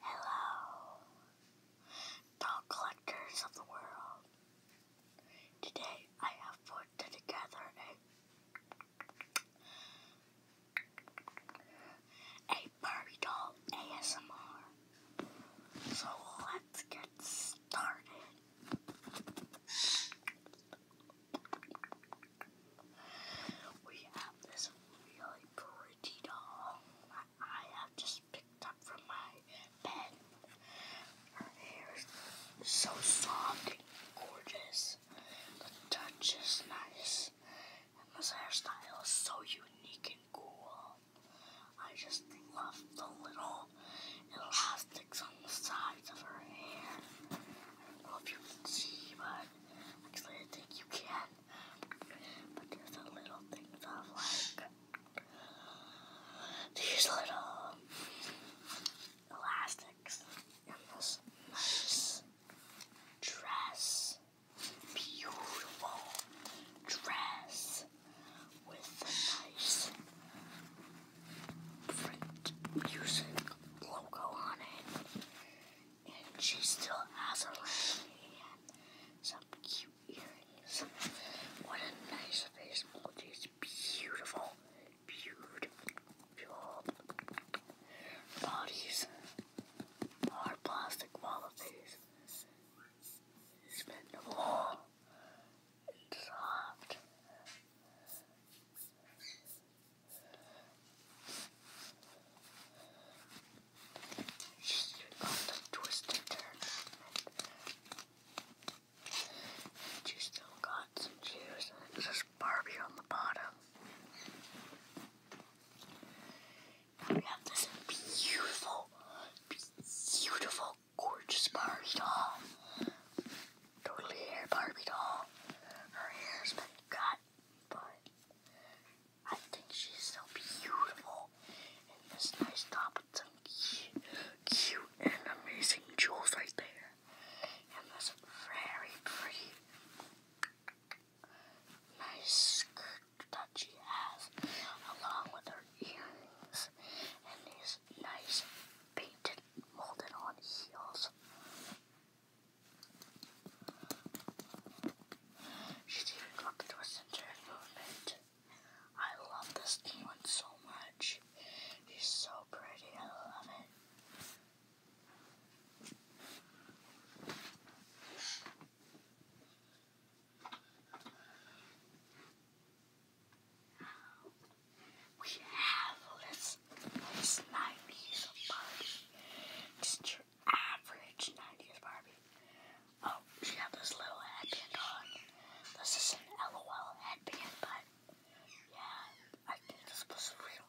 Hello, doll collectors of the world. Today I have put together a, Barbie doll ASMR. So let's get started. We have this really pretty doll. I have just picked up from my bed. Her hair is so soft and gorgeous. The touch is nice. And this hairstyle is so unique and cool. I just love the little elastics on the sides of her hair. I don't know if you can see, but actually I think you can. But there's some little things of like these little elastics in this nice dress. Beautiful dress with a nice print music logo on it. And she still has her hand. Some cute earrings. What a nice face. Oh, beautiful. Beautiful. Bodies are plastic qualities. Spendable. It's soft. She's doing all the twisted turn And she still got some juice and Barbie on the bottom. Now we have this beautiful, beautiful, gorgeous Barbie doll. Totally hair Barbie doll. Her hair's been cut, but I think she's so beautiful in this nice top with some cute, cute and amazing jewels right there. And this very pretty, nice skirt that she has, along with her earrings and these nice painted, molded on heels. She's even got the twist movement. I love this one so much. She's so pretty. I love it. We have this nice body. This average 90s Barbie. Oh, she had this little headband on. This is an LOL headband, but yeah, I think this was real.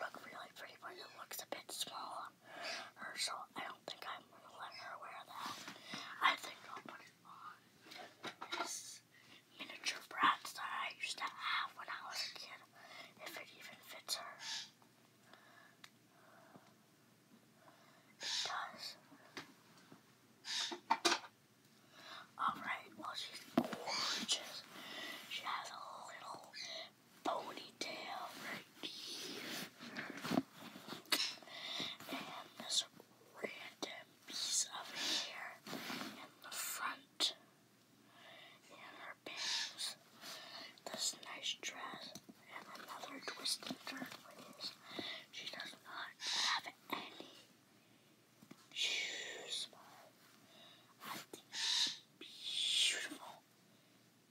Look really pretty, but it looks a bit small on I don't think I'm gonna let her wear that. I think I'll put it on this miniature Bratz that I used to have when I was a kid, if it even fits her does. Alright, well, she's gorgeous. She has a little ponytail right here. And this random piece of hair in the front. And her pants, this nice dress, and another twisted turn She does not have any shoes. I think she's beautiful,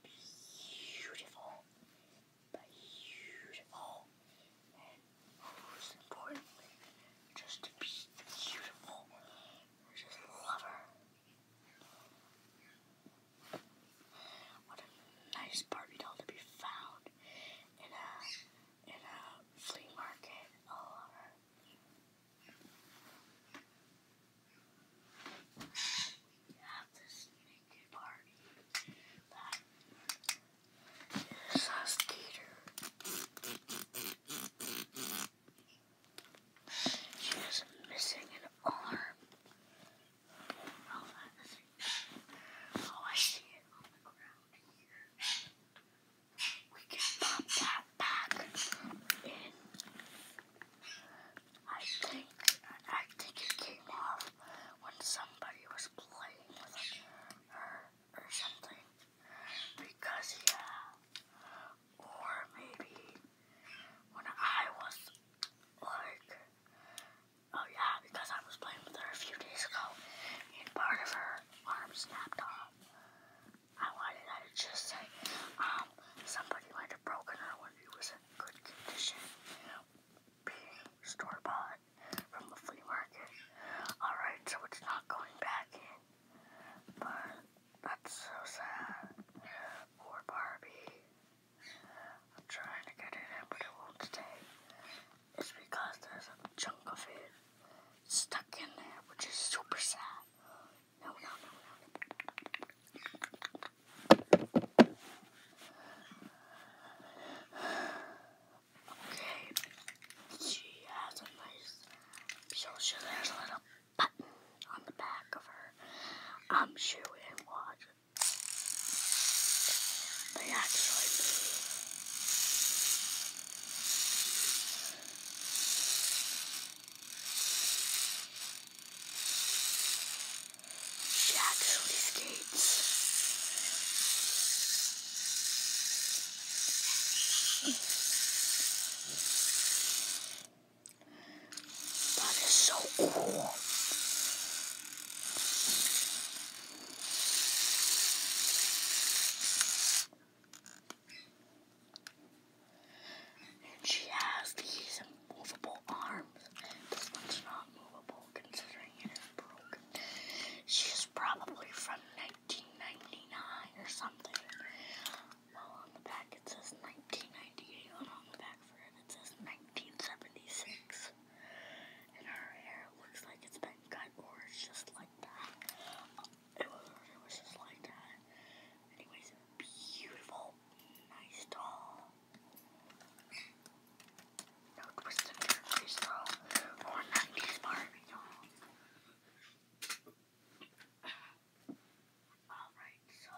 beautiful, beautiful, and most importantly, just beautiful. I just love her. What a nice Barbie doll to be found in a in a flea market all oh, over. We have this naked Barbie that is a skater. She is missing an arm. Oh, I see it on the ground here. We can pop that back in. I think I think it came off when somebody was playing with her or something. Because yeah, or maybe when I was like, oh yeah, because I was playing with her a few days ago, and part of her arm snapped off. I wanted to just say, um, somebody might have broken her when it was in good condition, being store bought from the flea market. Alright, so it's not going back in, but that's so sad. Poor Barbie. I'm trying to get it in, but it won't stay. It's because there's a chunk of it stuck in there, which is super sad. Okay. She has a nice. So she has a little button on the back of her. I'm sure we didn't watch They actually She actually skates. That is so cool. And she has these movable arms. This one's not movable considering it is broken. She's probably from 1999 or something. Well, on the back it says 1998, and on the back for it it says 1976. And her hair looks like it's been cut, or it's just like that. It was, just like that. Anyways, beautiful, nice doll. No twist in her face though, or 90s Barbie doll. Alright, so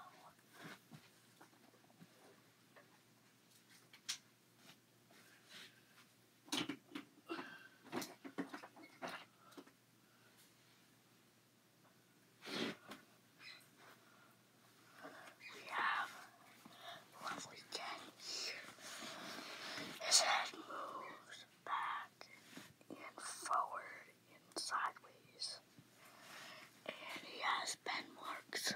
we have lovely day His head moves back and forward and sideways. And he has pen marks.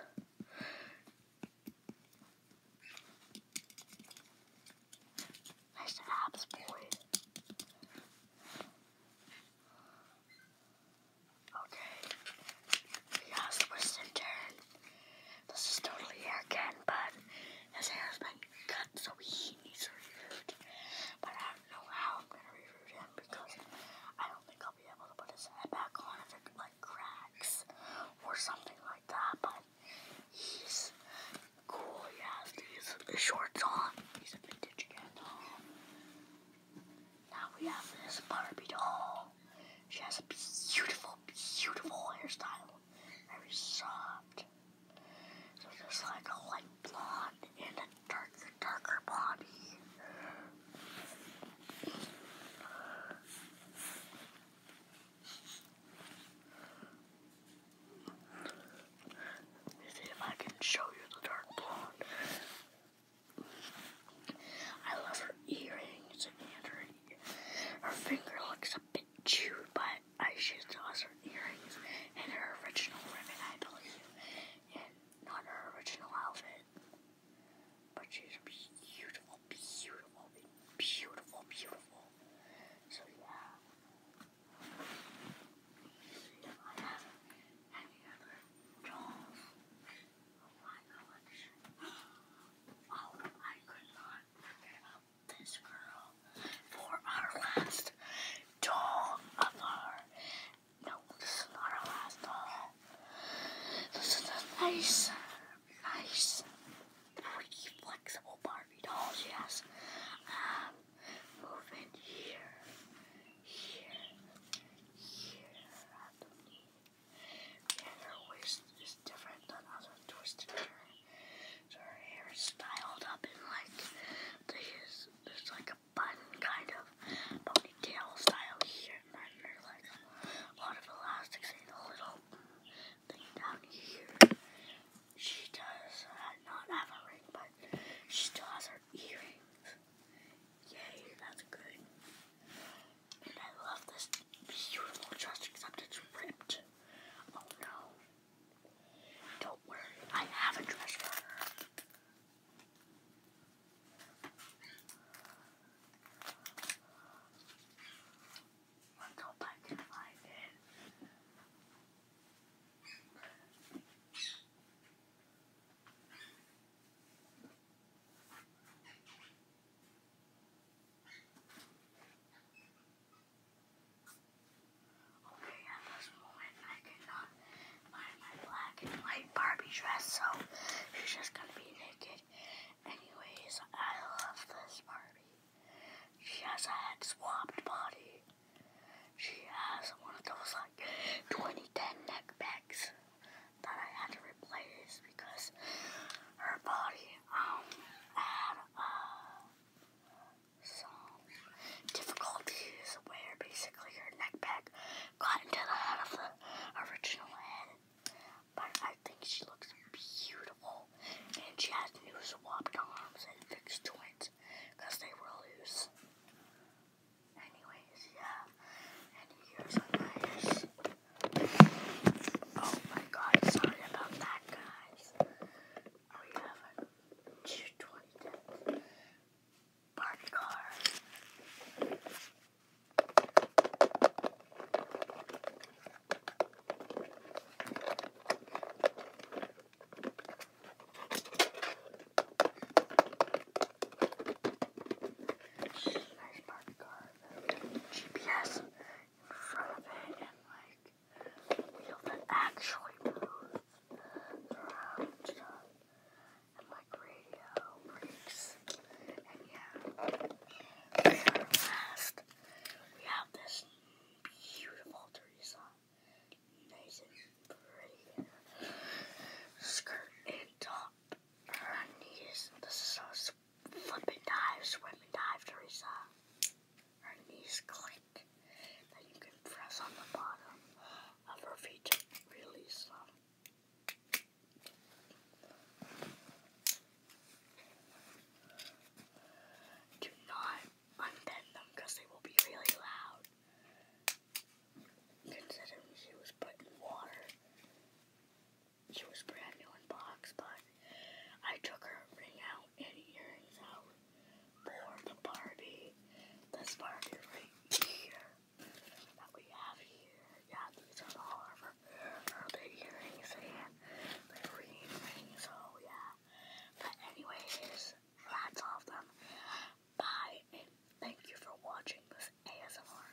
Nice abs, boy. Okay. He has the western turn. This is totally hair again, but his hair has been cut so he he's so huge. But I don't know how I'm gonna reroute him because I don't think I'll be able to put his head back on if it like cracks or something like that. But he's cool. He has these shorts on. He's a vintage cat doll. Now we have this Barbie doll. She has a beautiful, beautiful hairstyle. Very soft. So just like a light blonde and a dark, darker body. Let me see if I can show you the dark blonde. I love her earrings and her, finger looks a bit chewed by I got eyeshadow her earrings and her original ribbon, I believe, and not her original outfit. But she's beautiful, beautiful, beautiful, beautiful. So yeah this girl for our last doll of our. No, this is not our last doll. This is a nice, nice, pretty flexible Barbie doll she Um, move here, here, here at the different than other twisted her hair is styled up in like this there's like a bun kind of ponytail style here and then there's like a lot of elastics and a little thing down here. She does uh, not have a ring but she still has her earrings. Yay, that's good. And I love this beautiful dress except it's ripped. Oh no. Don't worry, I have a dress for her. Let's hope I can find it. Okay, at this moment I cannot find my black and white Barbie dress, so she's just gonna be naked. Anyways, I love this Barbie. She has a head swapped body. She has one of those like 2010 neck bags that I had to replace because her body um, had uh, some difficulties where basically her neck back got into the head of the original head. But I think she looks beautiful. And she has new swapped arms and fixed joints because they were loose. Anyways, yeah. And here's a nice Oh my god, sorry about that, guys. We have a 220 parked car. Nice parked car. GPS in front of it and like wheel that actually moves around uh, and like radio breaks. And yeah, and last we have this beautiful Teresa, nice and pretty skirt and top. Her knees. This is so flip dive, swim and dive, Teresa. Her knees click. Then you can press on the bottom of her feet to release them. Do not unbend them because they will be really loud. Considering she was put in water, she was brand new in box, but I took her ring out and earrings out for the Barbie. This Barbie right here that we have here. Yeah, these are all of her, her big earrings and the green ring. So oh, yeah. But anyways, that's all of them. Bye and thank you for watching this ASMR.